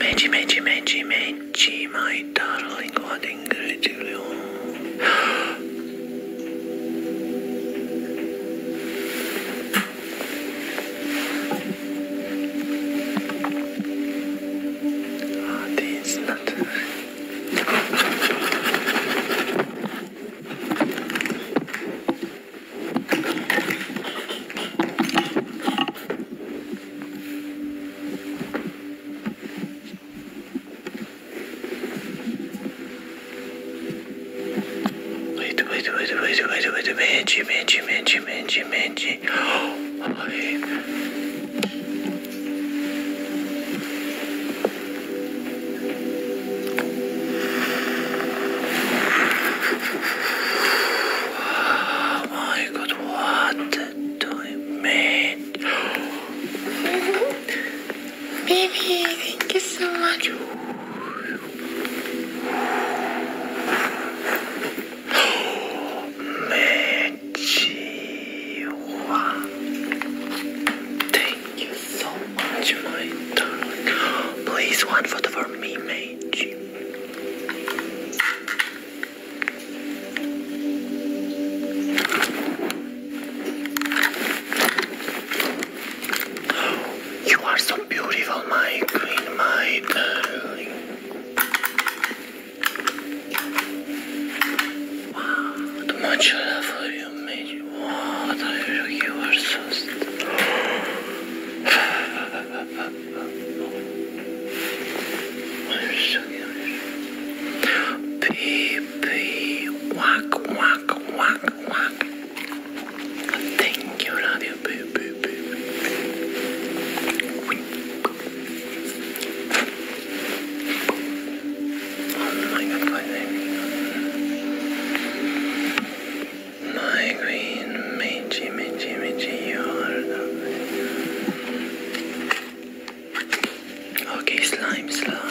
Menci, menci, menci, menci, my darling, what incredible. Wait, wait, wait, wait, wait, wait, Manji, Manji, Manji, Manji, Manji. Oh, I... Oh my god, what do you mean? Baby, thank you so much. Thank you so much, my darling. Please, one photo for me, Meiji. You are so beautiful, my queen, my darling. too much love for you, mate. What wow, you are so. Pee pee, whack whack whack whack. Thank you, Radio Pee Pee Oh my god, my name, my Michi, Michi, Michi, you are lovely. Okay, slime, slime.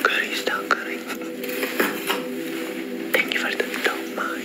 Curry's done, curry. Thank you for the don't mind.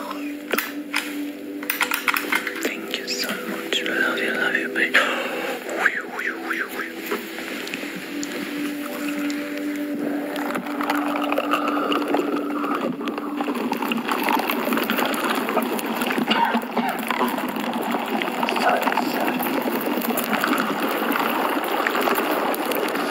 Thank you so much. Love you, love you, baby. Sorry, sorry.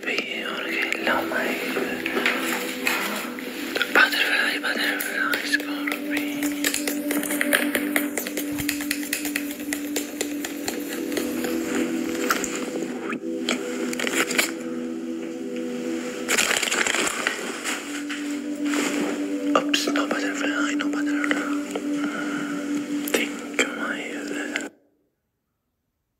being on butterfly, butterfly is gonna be Oops, no butterfly, no butterfly. Think my uh,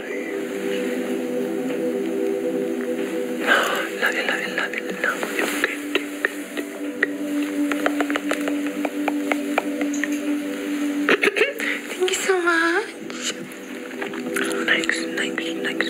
Love it, love it, love it, love it. Thank you so much. Thanks, thanks, thanks,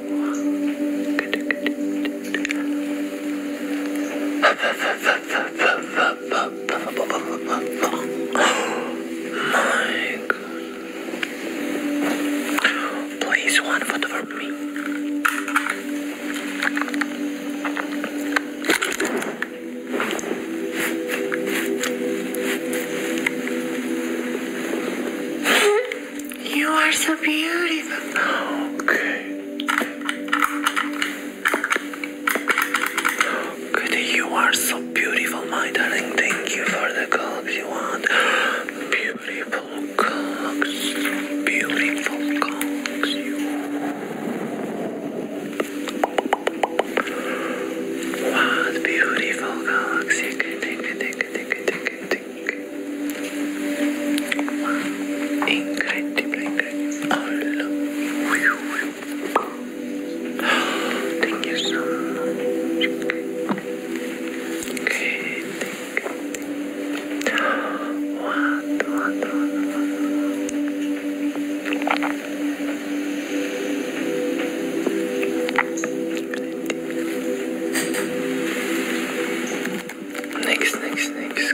My God. Please one photo for me. You are so beautiful. Okay. Good, you are so beautiful, my darling. Thank you for the clocks you Beautiful clocks. What beautiful clocks. Take it, take it, take fantastic. Incredible, incredible. I love you. Thank you so much. Okay, thank you. What, what, what? Next, next, next.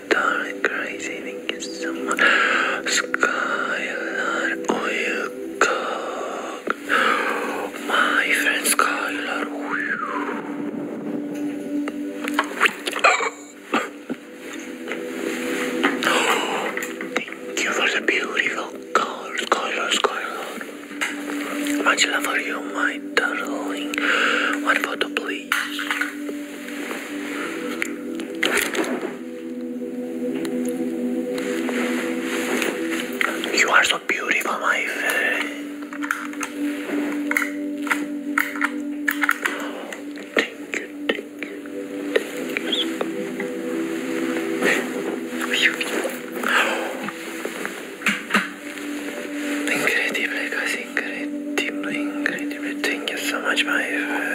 Skyline Crazy is someone Skyline Oil Cock My friend Skylar oh, Thank you for the beautiful color Skylar Skylar Much love for you my darling One photo please you are so beautiful, my friend. Thank you, thank you, thank you so much. Incredible, guys, incredible, incredible. Thank you so much, my friend.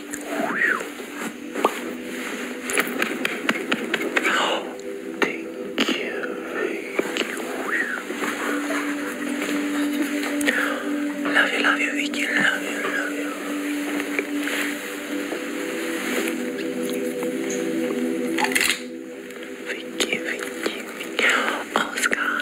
Thank you, thank you. Love you, love you, Vicky. Love you, love you. Vicky, Vicky, Vicky. Oscar,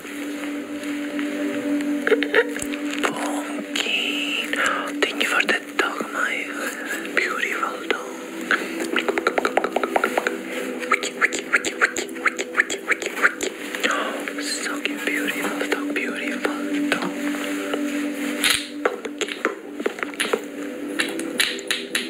Pumpkin. Thank you for the dog, my beautiful dog. Oh, so beautiful dog, beautiful dog.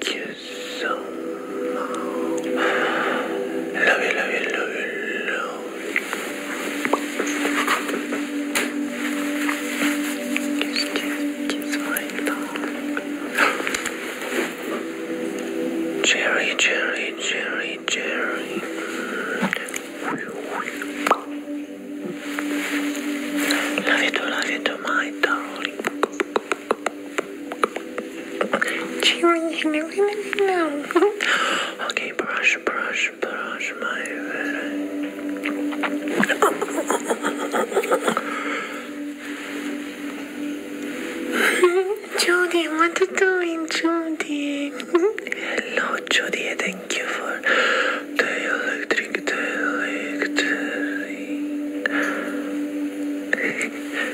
you so much. Love you, love you, love you, love you. Kiss, kiss, kiss my tongue. Cherry, cherry, cherry, cherry. Love you too, love you too, my darling. okay, brush, brush, brush my head. Judy, what are you doing, Judy? Hello, Judy. Thank you for the electric, the electric.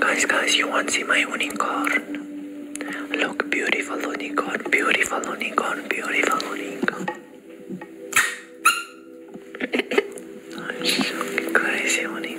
Guys, guys, you want to see my card? Look, beautiful unicorn, beautiful unicorn, beautiful unicorn. I'm so crazy unicorn.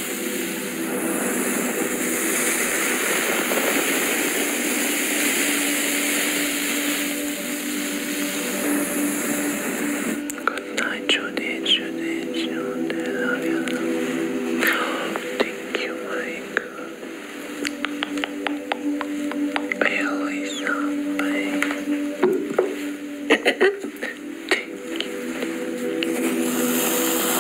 Good night, Judith, Judith, Judith, I love you. Thank you, Mike. Elisa, babe. Thank you.